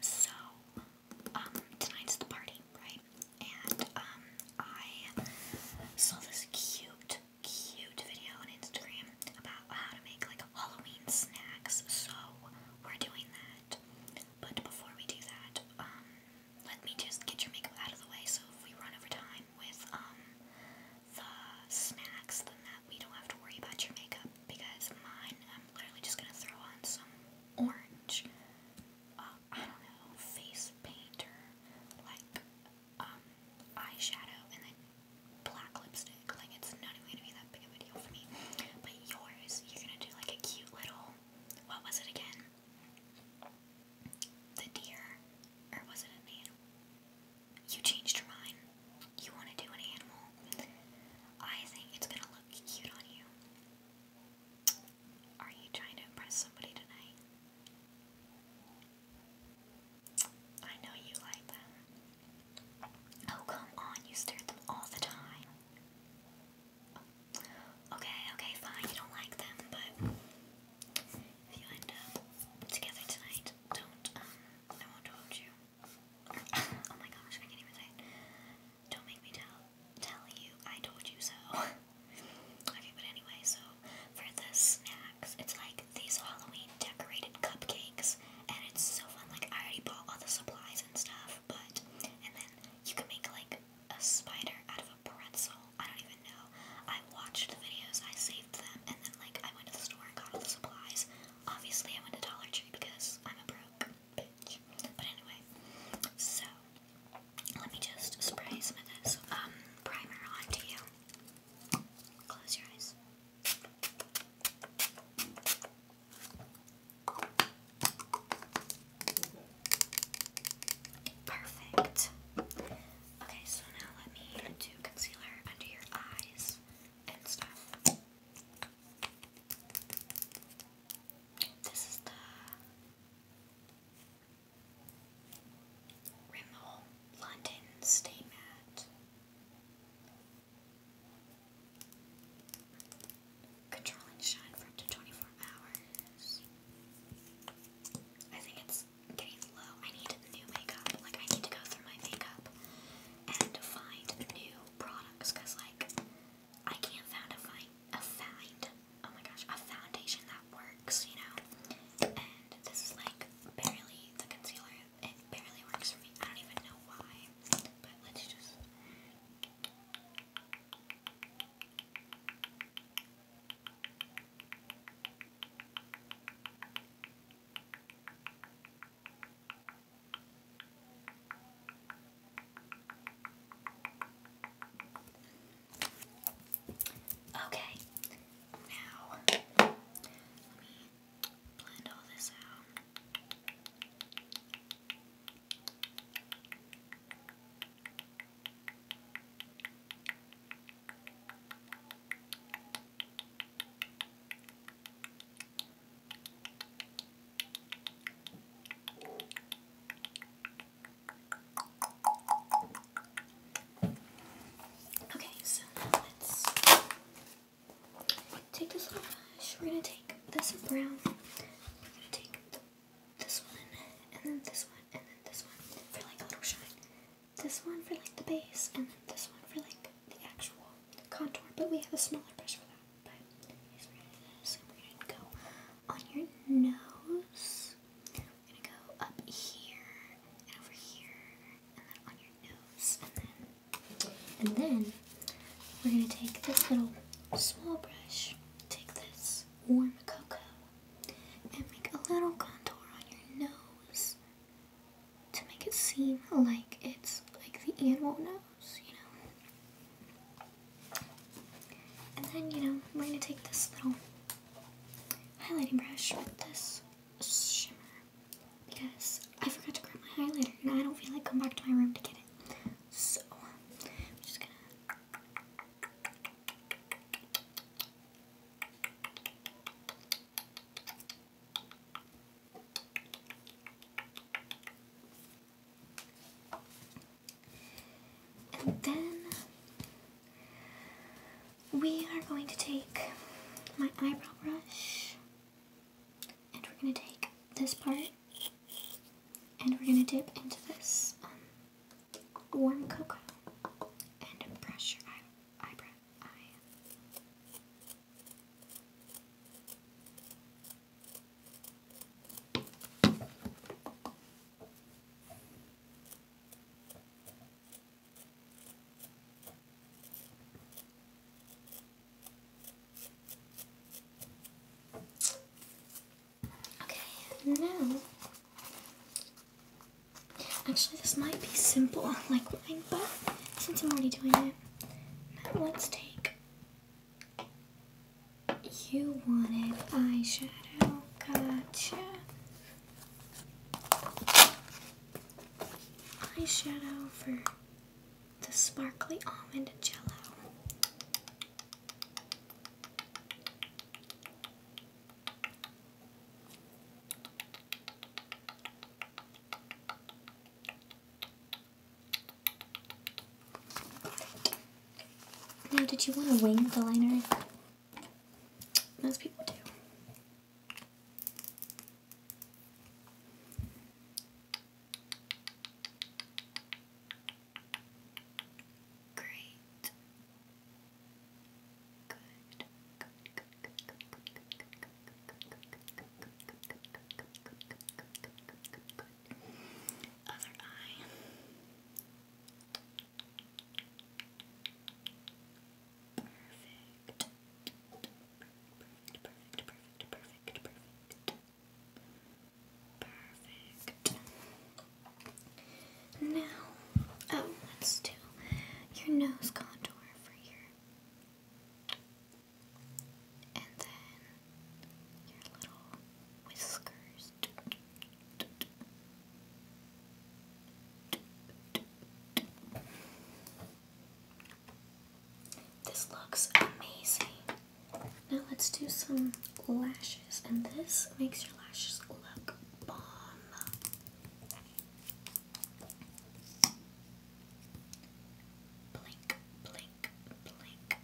So, um, tonight's the party, right? And, um, I saw this cute, cute video on Instagram about how to make, like, Halloween snacks. So, we're doing that. But before we do that, um, let me just get your makeup out of the way so if we run over time with, um, the snacks, then that we don't have to worry about your makeup because mine, I'm literally just gonna throw on some orange, uh, I don't know, face paint like um, eyeshadow and then black lipstick. Like it's not even gonna be that big a deal for me. But yours, you're gonna do like a cute little, what was it again? The deer, or was it an animal? You changed your mind. You want to do an animal. I think it's gonna look cute on you. Are you trying to impress somebody tonight? I know you like them. Oh, come on, you stare at them all the time. Okay, okay, fine, you don't like them, but if you end up together tonight, don't, um, I won't hold you oh my gosh, I can't even say Don't make me tell tell you I told you so. okay, but anyway, so for the snacks, it's like these Halloween decorated cupcakes, and it's so fun. Like I already bought all the supplies and stuff, but and then you can make like a spider out of a pretzel. I don't even know. I watched the videos, I saved them, and then like I went to the store and got all the supplies. Obviously, I went to Dollar Tree because I'm a broke. But anyway, so let me just spray some of this um, primer onto you. Close your eyes. Perfect. Okay, so now let me do concealer under your eyes and stuff. This is the Rimmel London Stay Mat. Control shine for up to 24 hours. I think it's getting low. I need new makeup. Like, I need to go through my makeup and find new products because, like, I can't find a find a find. Oh my gosh, a foundation that works, you know. And this is like barely the concealer. It barely works for me. I don't even know why. But let's just. Okay, now let me blend all this out. Okay, so let's take this off. We're gonna take this brown. We're gonna take this one, and then this one, and then this one for like a little shine. This one for like the base, and then this one for like the actual contour. But we have a smaller brush for that but we're gonna go on your nose. We're gonna go up here and over here, and then on your nose, and then we're gonna take this little small brush, take this warm cocoa, and make a little contour on your nose to make it seem like it's like the animal nose. And then, you know, we're going to take this little highlighting brush with this shimmer. Because I forgot to grab my highlighter and I don't feel like going back to my room to get it. So, I'm just going to... And then we are going to take my eyebrow brush and we're going to take this part and we're going to dip into this um, warm cocoa and brush your eye, Okay, now, actually this might be simple like mine, but since I'm already doing it, let's take you wanted eyeshadow, gotcha. Eyeshadow for the sparkly almond jello. Now, did you want to wing the liner? Most people do. Great. Good. Good, good, good, good, good, good, good, good, good, good, good, good, good, good, good, good, other eye. Perfect. Perfect, perfect, perfect, perfect, perfect. Perfect. Now, oh, let's do your nose contour for your and then your little whiskers. This looks amazing. Now let's do some lashes, and this makes your lashes look bomb. Blink, blink, blink,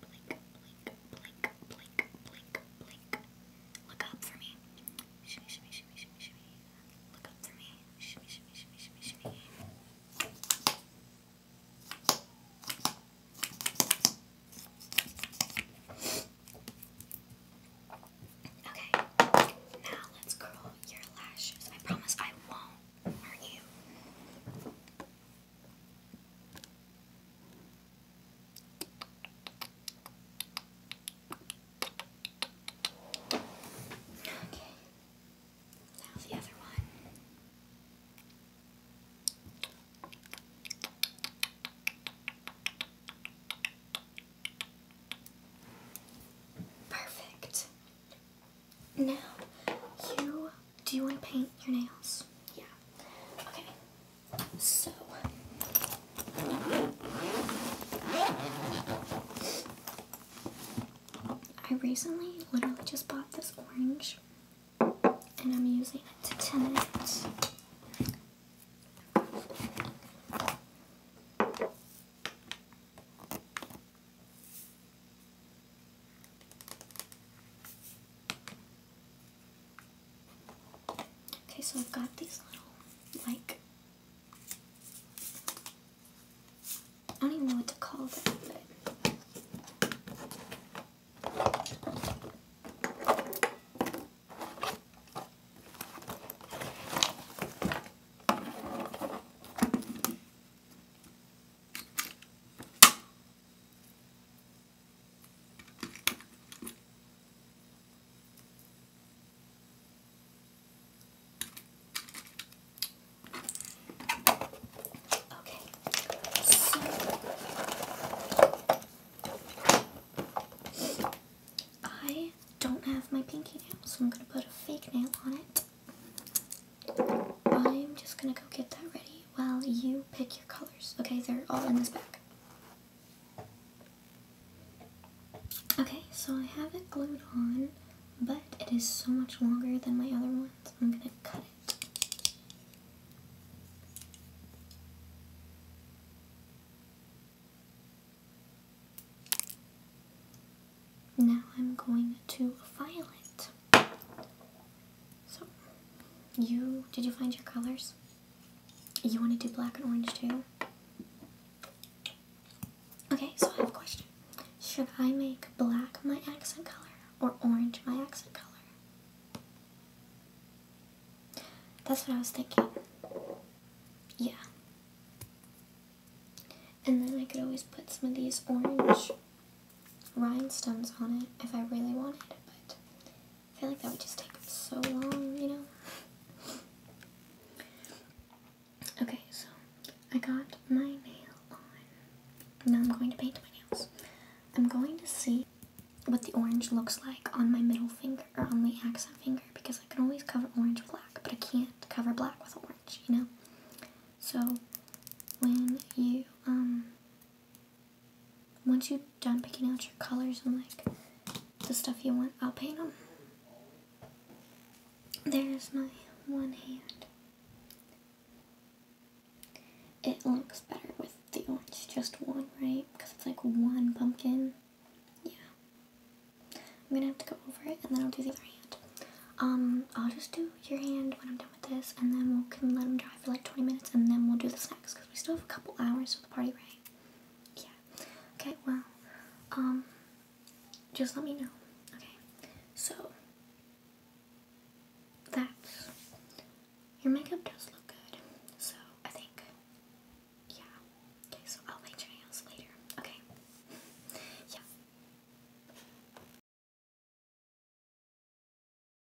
blink, blink, blink, blink, blink. Look up for me. Shimmy, shimmy, shimmy, shimmy, shimmy. Look up for me. Shimmy, shimmy, shimmy, shimmy, shimmy. Okay, now let's curl your lashes. I promise I won't hurt you. Okay. Now the other one. Perfect. Now you do you want to paint your nails? Yeah. Okay. So. I recently literally just bought this orange and I'm using it to tint it. Okay, so I've got these little, like, I don't even know what to call them, but. Okay, so I don't have my pinky nail, so I'm going to put a fake nail on it. I'm just going to go get that ready. Well, you pick your colors. Okay, they're all in this bag. Okay, so I have it glued on, but it is so much longer than my other ones. I'm gonna cut it. Now I'm going to file it. So, you did you find your colors? You want to do black and orange too? Okay, so I have a question. Should I make black my accent color or orange my accent color? That's what I was thinking. Yeah. And then I could always put some of these orange rhinestones on it if I really wanted, but I feel like that would just take so long, you know? Okay, so I got my nail on. Now I'm going to paint my nails. I'm going to see what the orange looks like on my middle finger, or on the accent finger, because I can always cover orange with black, but I can't cover black with orange, you know? So, when you, um, once you're done picking out your colors and like the stuff you want, I'll paint them. There's my one hand. It looks better with the orange, just one, right? Because it's like one pumpkin. Yeah. I'm gonna have to go over it and then I'll do the other hand. Um, I'll just do your hand when I'm done with this, and then we'll can let them dry for like 20 minutes, and then we'll do the snacks because we still have a couple hours for the party, right? Yeah. Okay. Well, um, just let me know. Okay. So that's your makeup does look good. So I think, yeah. Okay. So I'll wait your nails later. Okay. yeah.